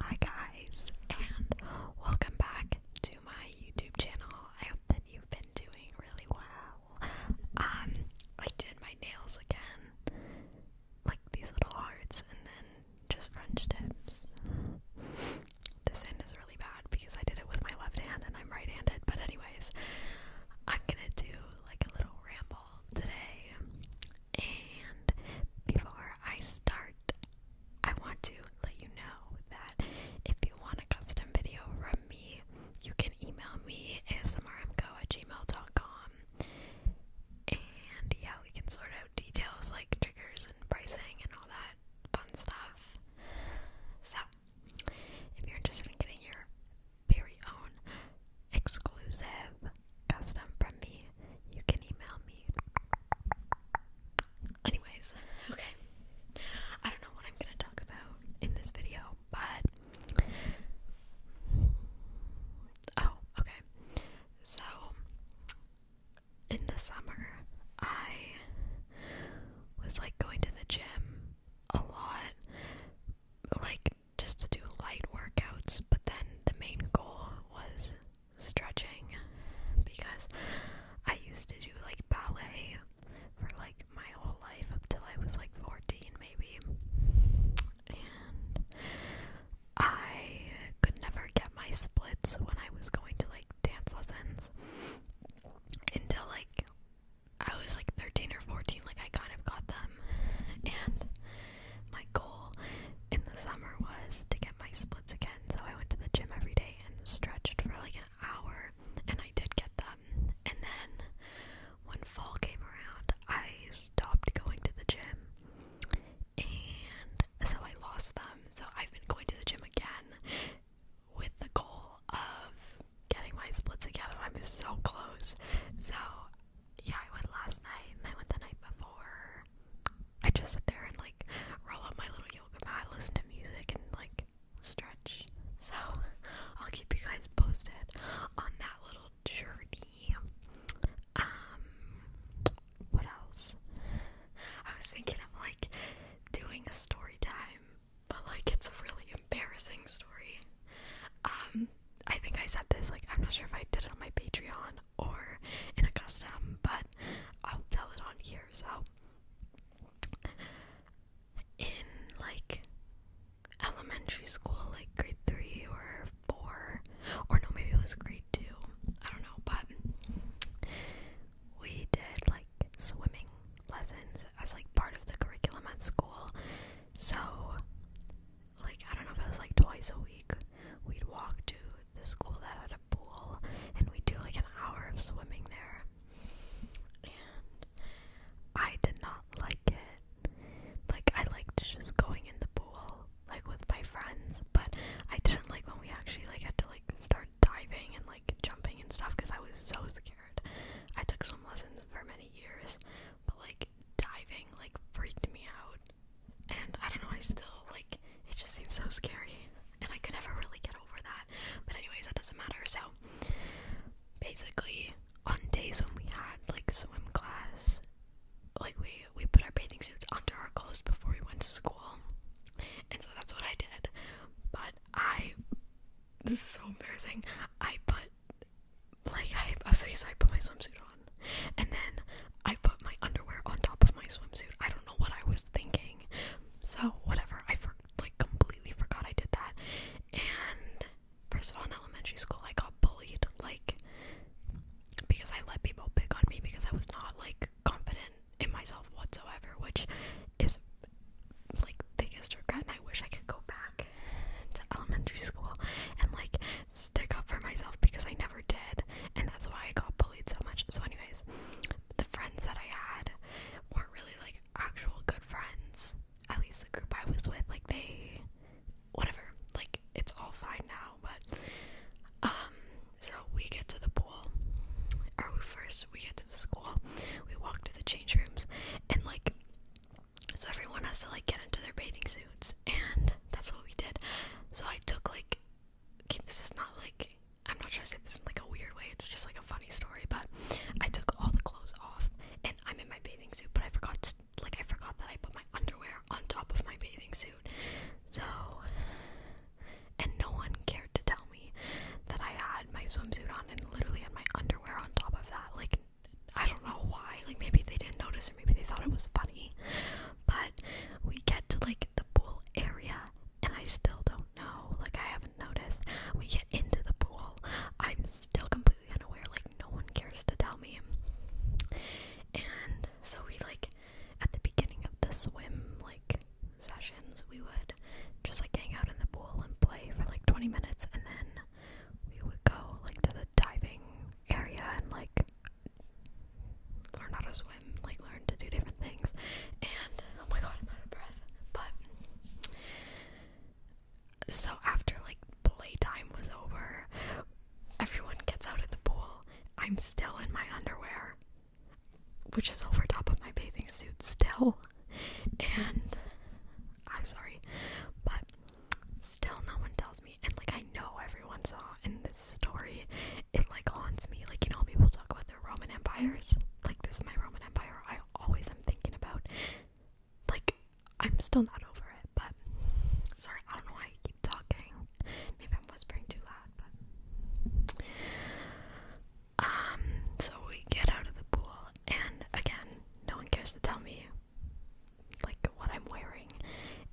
Hi guys, and welcome back to my YouTube channel. I hope that you've been doing really well. Um, I did my nails again, like these little hearts, and then just French tips. This end is really bad because I did it with my left hand and I'm right-handed, but anyways, I'm gonna do like a little ramble today. And before I start, I want to let you know that if you want a custom video from me, you can email me asmrmco at gmail.com. And yeah, we can sort out details like triggers and pricing and all that fun stuff. So, if you're interested in getting your very own exclusive custom from me, you can email me. Anyways, okay. I don't know what I'm gonna talk about in this video, but oh, okay. So in the summer, I was like going to the gym a lot, like just to do light workouts, but then the main goal was stretching because I used to do like ballet for like my whole life up till I was like 14 maybe. And I could never get my splits when I was going to like dance lessons until like I was like 13 or 14 like I kind of got them and my goal in the summer was to get my splits again. So I went to the gym every day and stretched for like an hour, and I did get them. And then when fall came around, I stopped going to the gym, and so I lost them. So I've been going to the gym again with the goal of getting my splits again, and I'm so close. So yeah, I went last night and I went the night before. I just sit there and like roll up my little yoga mat, listen to music, and like stretch. So I'll keep you guys posted on that little journey. Um, what else? I was thinking of like doing a story time, but like it's a really embarrassing story. Um, I think I said this, like, I'm not sure if I did it on my Patreon or in a custom, but I'll tell it on here. So, in like elementary school, like grade three or four, or no, maybe it was grade two, I don't know, but we did like swimming lessons as like part of the curriculum at school. So, like I don't know if it was like twice a week, we'd walk to the school that had a pool and we'd do like an hour of swimming there. And I did not like it. Like I liked just going in the pool, like with my friends, but I didn't like when we actually like had to like start diving and like jumping and stuff because I was so scared. I took swim lessons for many years, but like diving like freaked me out. And I don't know, I still like it just seems so scary. And I could never really get over that. But anyways, that doesn't matter. So basically on days when we had like swim class, like we we put our bathing suits under our clothes before we went to school. And so that's what I did. But I this is so embarrassing. I put like I okay, so I put my swimsuit on, and then I put my underwear on top of my swimsuit. I don't know what I was thinking, so whatever. I for, like completely forgot I did that. And first of all, in elementary school, I got bullied, like because I let people pick on me because I was not like confident in myself whatsoever, which is like biggest regret and I wish I could go back to elementary school and like stick up for myself because I never did and that's why I got bullied so much. So anyways, the friends that I had weren't really like actual good friends. At least the group I was with, like they whatever, like it's all fine now, but um so we get to the pool or we first we get to the school, we walk to the change rooms and like so everyone has to like get into their bathing suits, and that's what we did. So I took like, okay, this is not like, I'm not trying to say this in like a weird way. It's just like a funny story, but I took all the clothes off, and I'm in my bathing suit, but I forgot like, I forgot that I put my underwear on top of my bathing suit. So, and no one cared to tell me that I had my swimsuit on on and literally had my underwear on top of that. Like, I don't know why. Like, maybe they didn't notice or maybe they thought it was funny. But we get to like the pool area and I still don't know. Like, I haven't noticed. We get into the pool. I'm still completely unaware. Like, no one cares to tell me. And so we like at the beginning of the swim like sessions we would just like hang out in the pool and play for like 20 minutes and then we would go like to the diving area and like learn how to swim, like learn to do different things. And oh my god, I'm out of breath. But so after like playtime was over, everyone gets out of the pool. I'm still in my underwear, which is over top of my bathing suit still and I'm sorry, but still no one tells me. And like I know everyone saw in this story, it like haunts me. Like you know, people talk about their Roman empires. Like this is my Roman empire. I always am thinking about. Like I'm still not over it. But sorry, I don't know why I keep talking. Maybe I'm whispering too loud. But um, so we get out of the pool, and again, no one cares to tell me like what I'm wearing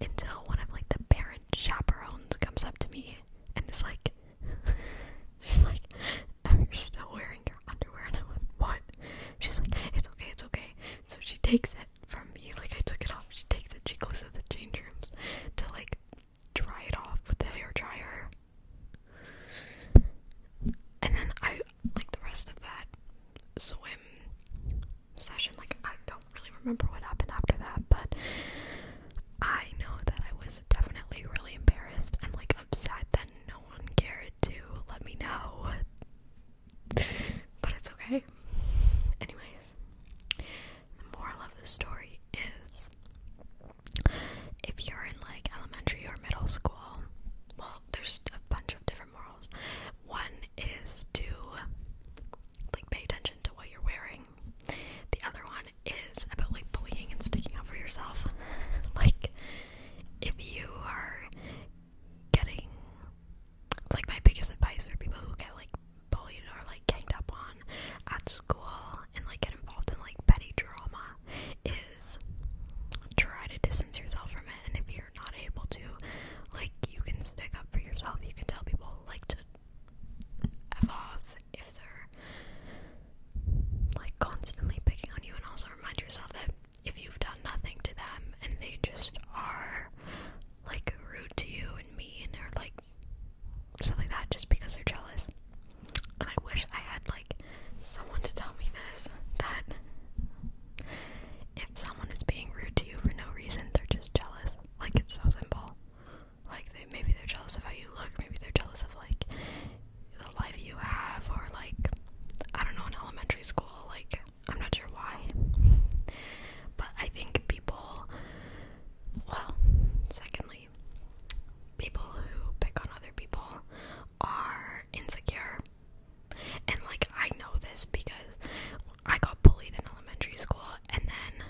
until one of like the parent chaperones comes up to me and is like she's like, um, oh, you still wearing your underwear and I am like, What? She's like, It's okay, it's okay. So she takes it from me, like I took it off, she takes it, she goes to the change rooms to like dry it off with the hair dryer and then I like the rest of that swim session. Like I don't really remember what happened after that, but I know that I was definitely really embarrassed and like upset that no one cared to let me know. but it's okay. Anyways, the moral of the story is if you're in like elementary or middle school, well, there's a bunch of different morals. One is to like pay attention to what you're wearing. The other one is about like bullying and sticking up for yourself. like if you are getting like my biggest advice for people who get like bullied or like ganged up on on at school and like get involved in like petty drama is try to distance yourself from it and if you're not able to like you can stick up for yourself you can tell people like to f off if they're like constantly picking on you and also remind yourself that if you've done nothing to them and they just are like rude to you and mean or like stuff like that just because they're jealous. And I wish I had like someone to tell me this that if someone is being rude to you for no reason, they're just jealous. Like it's so simple. Like maybe they're jealous of how you look, maybe they're jealous of like the life you have, or like I don't know in elementary school. Like I'm not sure why, but I think people. Well, secondly, people who pick on other people are insecure. And like I know this because I got bullied in elementary school and then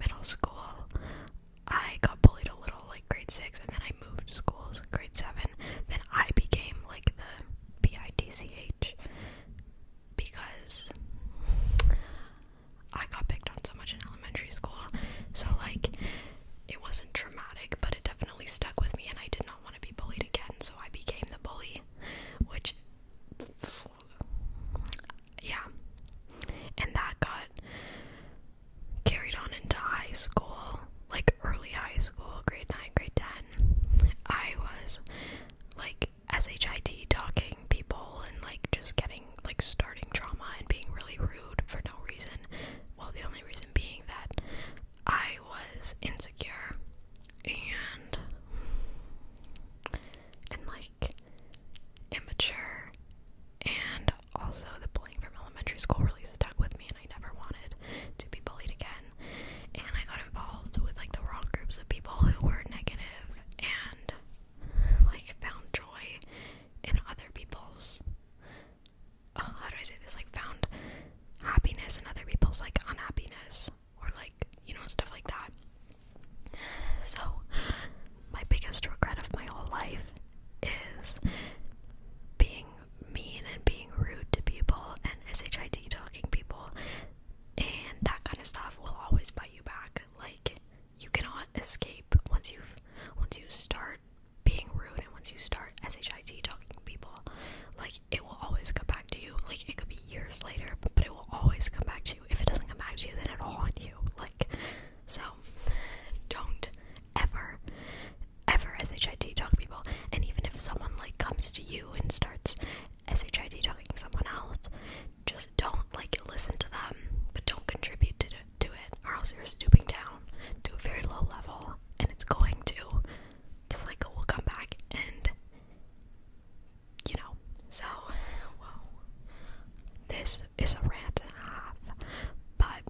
middle school I got bullied a little like grade 6 and then I moved schools grade 7 then I became like the B I T C H because I got picked on so much in elementary school. So, like, it wasn't traumatic, but it definitely stuck with me, and I did not want to be bullied again, so I became the bully, which, yeah. And that got carried on into high school, like early high school, grade 9, grade 10. I was like like shit talking people and like just getting like starting drama and being really rude for no reason. Well, the only reason being that I was insecure and and like immature and also the bullying from elementary school really stuck with me and I never wanted to be bullied again and I got involved with like the wrong groups of people who were negative and like found joy in other people's oh, how do I say this? Like found happiness in other people's like unhappiness or like you know stuff like that. So my biggest regret of my whole life is being mean and being rude to people and SHIT talking people and that kind of stuff will always bite you back. Like you cannot escape once you've once you start being rude and once you start shit talking to people, like it will always come back to you. Like it could be years later, but it will always come back to you. If it doesn't come back to you, then it'll haunt you. Like so, don't ever, ever shit talk people. And even if someone like comes to you and starts Shid talking to someone else, just don't like listen to them, but don't contribute to, to it, or else you're stooping down to a very low level, and it's going to the cycle will come back, and you know. So, this is a rant and a half, but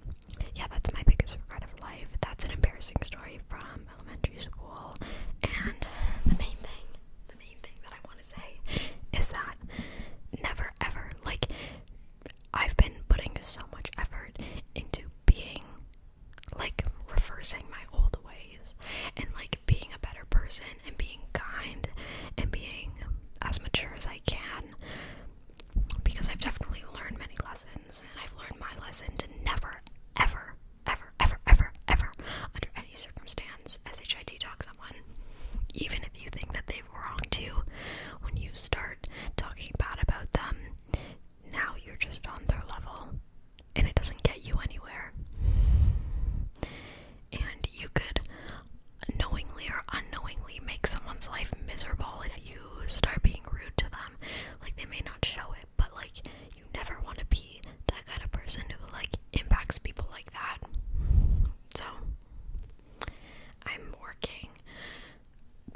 yeah, that's my biggest regret of life. That's an embarrassing story from elementary school, and the main thing main thing that I want to say is that never ever, like, I've been putting so much effort into being, like, reversing my old ways and, like, being a better person and being kind and being as mature as I can because I've definitely learned many lessons and I've learned my lesson to never, ever, ever, ever, ever, ever, under any circumstance, SHIT talk someone. Even if you think that they've wronged you, when you start talking bad about them, now you're just on their level and it doesn't get you anywhere. And you could knowingly or unknowingly make someone's life miserable if you start being rude to them. Like, they may not show it, but like, you never want to be that kind of person who like impacts people like that. So I'm working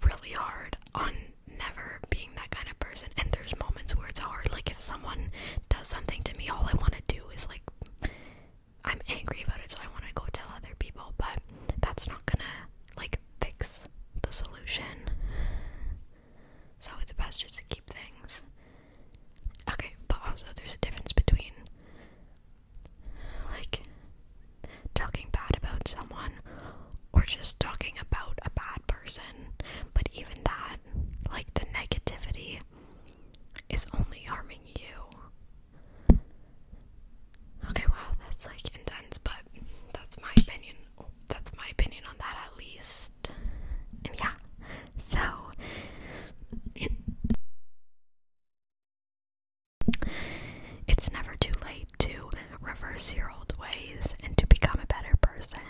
really hard on never being that kind of person and there's moments where it's hard like if someone does something to me all I want to do is like I'm angry about it so I want to go tell other people but that's not going to like fix the solution. So it's best just to keep things. Okay, but also there's a difference between like talking bad about someone or just talking about a bad person. But even that, like the negativity is only harming you. Okay, wow, that's like intense, but that's my opinion. That's my opinion on that at least yeah, so it's never too late to reverse your old ways and to become a better person.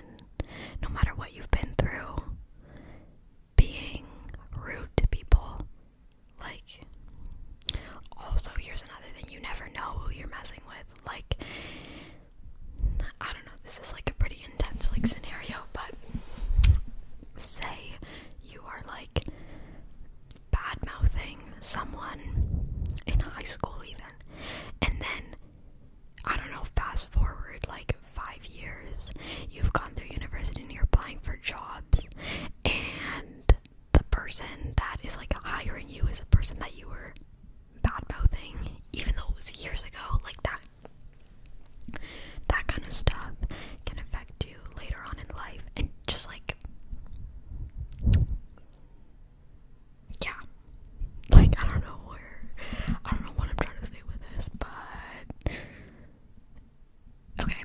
No matter what you've been through, being rude to people, like, also, here's another thing you never know who you're messing with. Like, I don't know, this is like a pretty intense like scenario, but say you are like bad mouthing someone in high school even and then I don't know, fast forward like five years, you've gone through university and you're applying for jobs and the person that is like hiring you is a person that you were bad mouthing, even though it was years ago, like that that kind of stuff can affect you later on in life and just like yeah like i don't know where i don't know what i'm trying to say with this but okay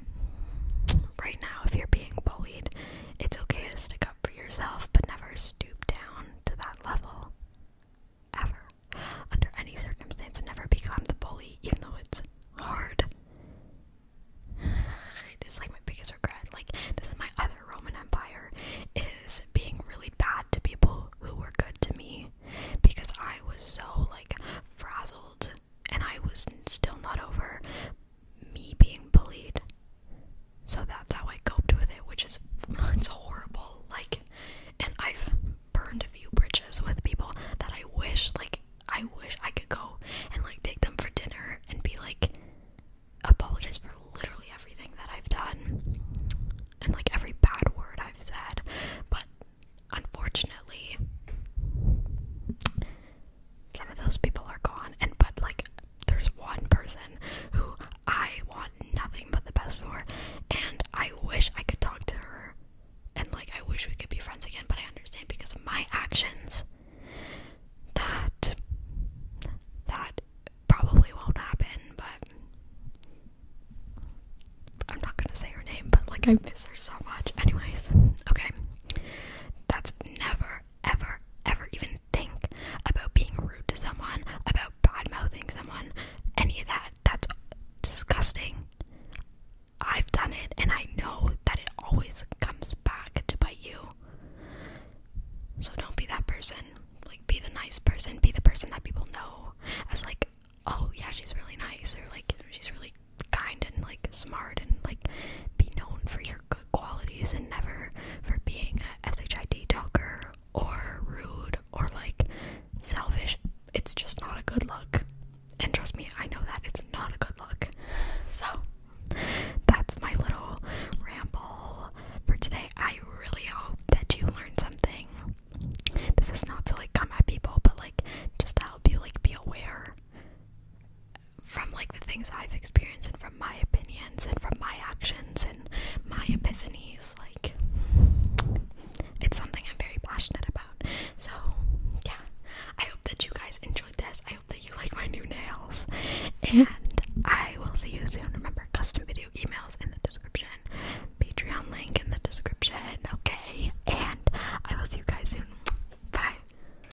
right now if you're being bullied it's okay to stick for yourself, but never stoop down to that level. Ever. Under any circumstance, never become the bully, even though it's hard. this is like my biggest regret. Like, this is my other Roman Empire, is being really bad to people who were good to me because I was so, like, frazzled and I was still not over me being bullied. So that's how I coped with it, which is it's horrible. Like and I've burned a few bridges with people that I wish like I wish I could go and like take them for dinner and be like apologize for literally everything that I've done and like every bad word I've said. But unfortunately some of those people are gone and but like there's one person who I want nothing but the best for and I wish I could talk to her and like I wish we could be friends again but I understand because of my actions that that probably won't happen but I'm not gonna say her name but like I mm. miss her so much anyways okay that's never ever ever even think about being rude to someone, about bad mouthing someone, any of that. That's disgusting. I've done it and I know that it always comes back to bite you. So don't be that person. Like be the nice person, be the person that people know as like, oh yeah, she's really nice or like she's really kind and like smart and like be known for your good qualities and never for being a SHIT talker or rude or like selfish. It's just not a good look. And trust me, I know that it's not a good look. So that's my little ramble for today. I really hope that you learned something. This is not to like come at people, but like just to help you like be aware from like the things I've experienced and from my opinions and from my actions and my epiphanies like it's something I'm very passionate about. So, yeah. I hope that you guys enjoyed this. I hope that you like my new nails. And I will see you soon. Remember custom video emails in the description. Patreon link in the description, okay? And I will see you guys soon. Bye.